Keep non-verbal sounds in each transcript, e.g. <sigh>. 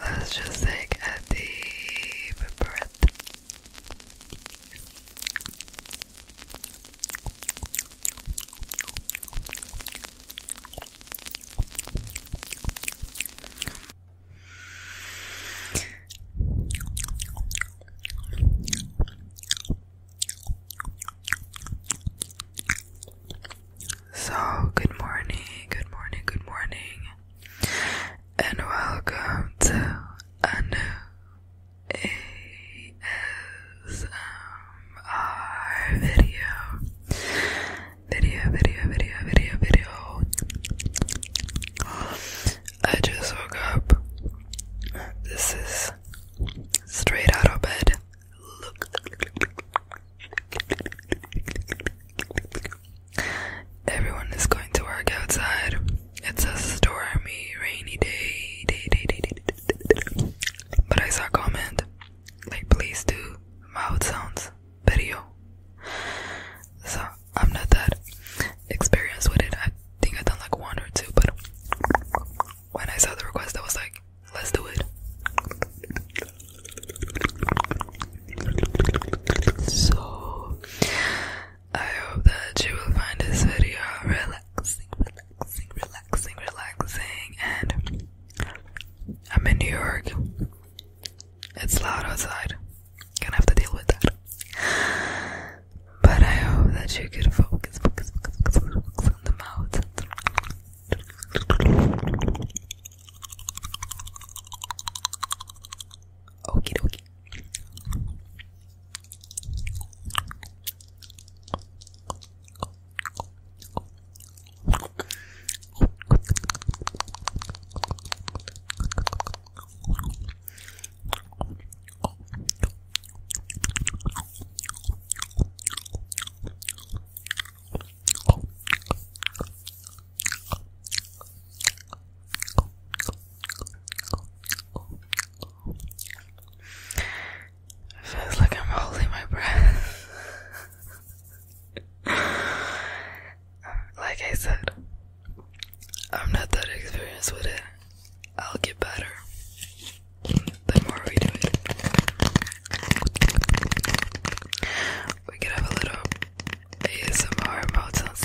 Let's just take a deep breath. So, good morning, good morning, good morning, and welcome to a new ASMR video video, video, video, video, video. I just woke up. This is straight out of bed. Look. Everyone is going to work outside. It's a stormy, rainy day. day, day, day, day, day, day, day. But I saw a comment like, please do mouth sounds video. So I'm not that experienced with it. I think I've done like one or two, but when I saw the request, I was like, let's do it. So I hope that you will find this video relaxing, relaxing, relaxing, relaxing. And I'm in New York. It's loud outside. Gonna have to deal with that. But I hope that you could focus, on the mouth. Okie dokie. Feels like I'm holding my breath like I said, I'm not that experienced with it. I'll get better the more we do it. We could have a little ASMR mouth sounds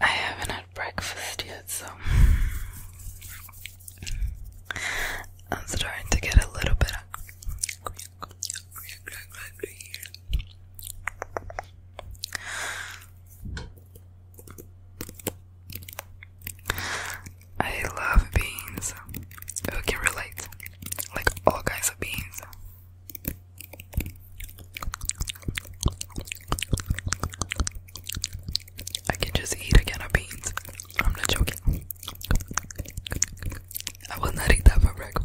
I haven't had breakfast yet, so I'm starting to get a little bit I love beans. Who can relate? Like all kinds of beans. I can just eat again of beans. I'm not joking. I will not eat that for breakfast.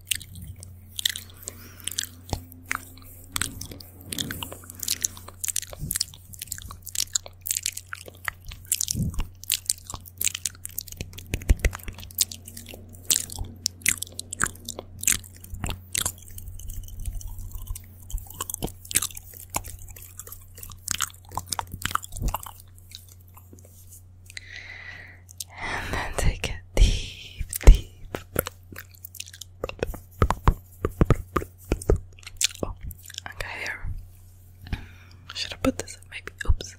And then take a deep, deep Oh, I got hair. Should I put this up? Maybe. Oops.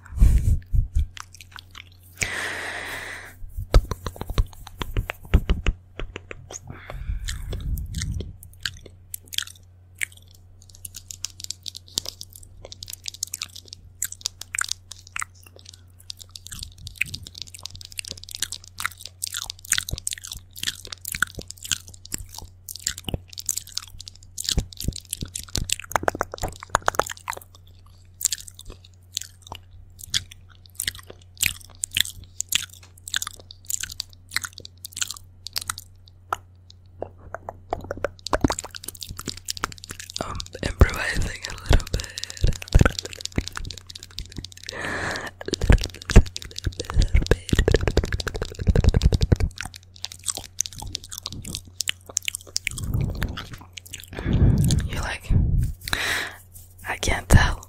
I'm um, improvising a little bit little bit. You're like, I can't tell.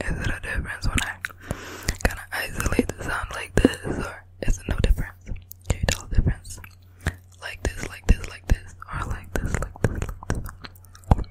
Is it a difference when I kind of isolate the sound like this, or is it no difference? Can you tell the difference? Like this, like this, like this, or like this, like this, like this.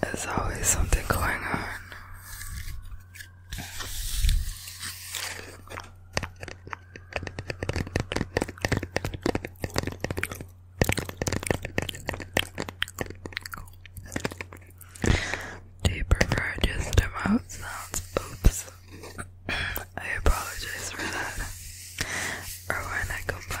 There's always something going on. Do you prefer just to mouth sounds? Oops. I apologize for that. Or when I combine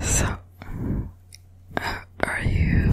So, uh, are you feeling?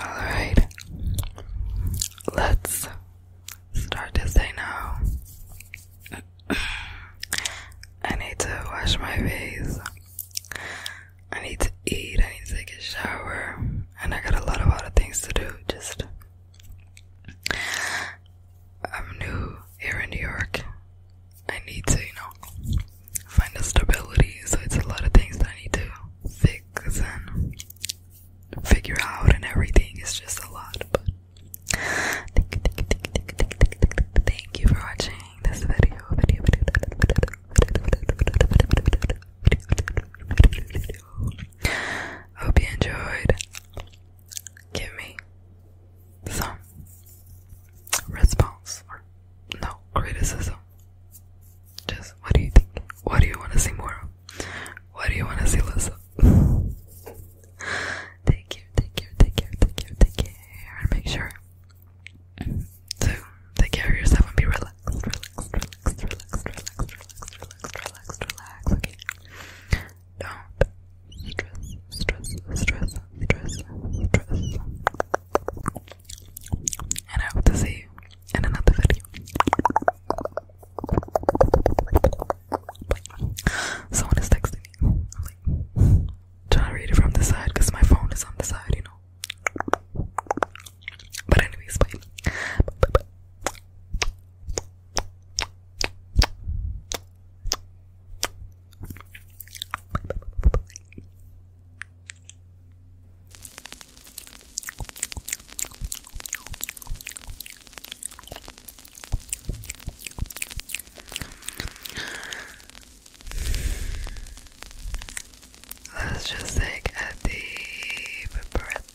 Alright, let's start this now. <clears throat> I need to wash my face. I need to eat. I need to take a shower. And I got a lot of other things to do. Just, I'm new here in New York. I need to, you know, find a stability. So it's a lot of things that I need to fix. Cause then figure out and everything. is just a lot. But thank you, thank you, thank you, thank you, thank you, thank you for watching this video. Video, video, video, video. Hope you enjoyed. Give me some response or no criticism just what do you think? What do you want to see more of? What do you want to see less of? <laughs> take care, take care, take care, take care, take care, and make sure to take care of yourself and be relaxed, relaxed, relaxed, relaxed, relaxed, relaxed, relaxed, relaxed, Don't stress, stress, stress, stress, stress. And I hope to see you in another video. Someone is texting me. trying to read it from the side because my phone is on the side, you know. But, anyways, bye. Let's just take a deep breath.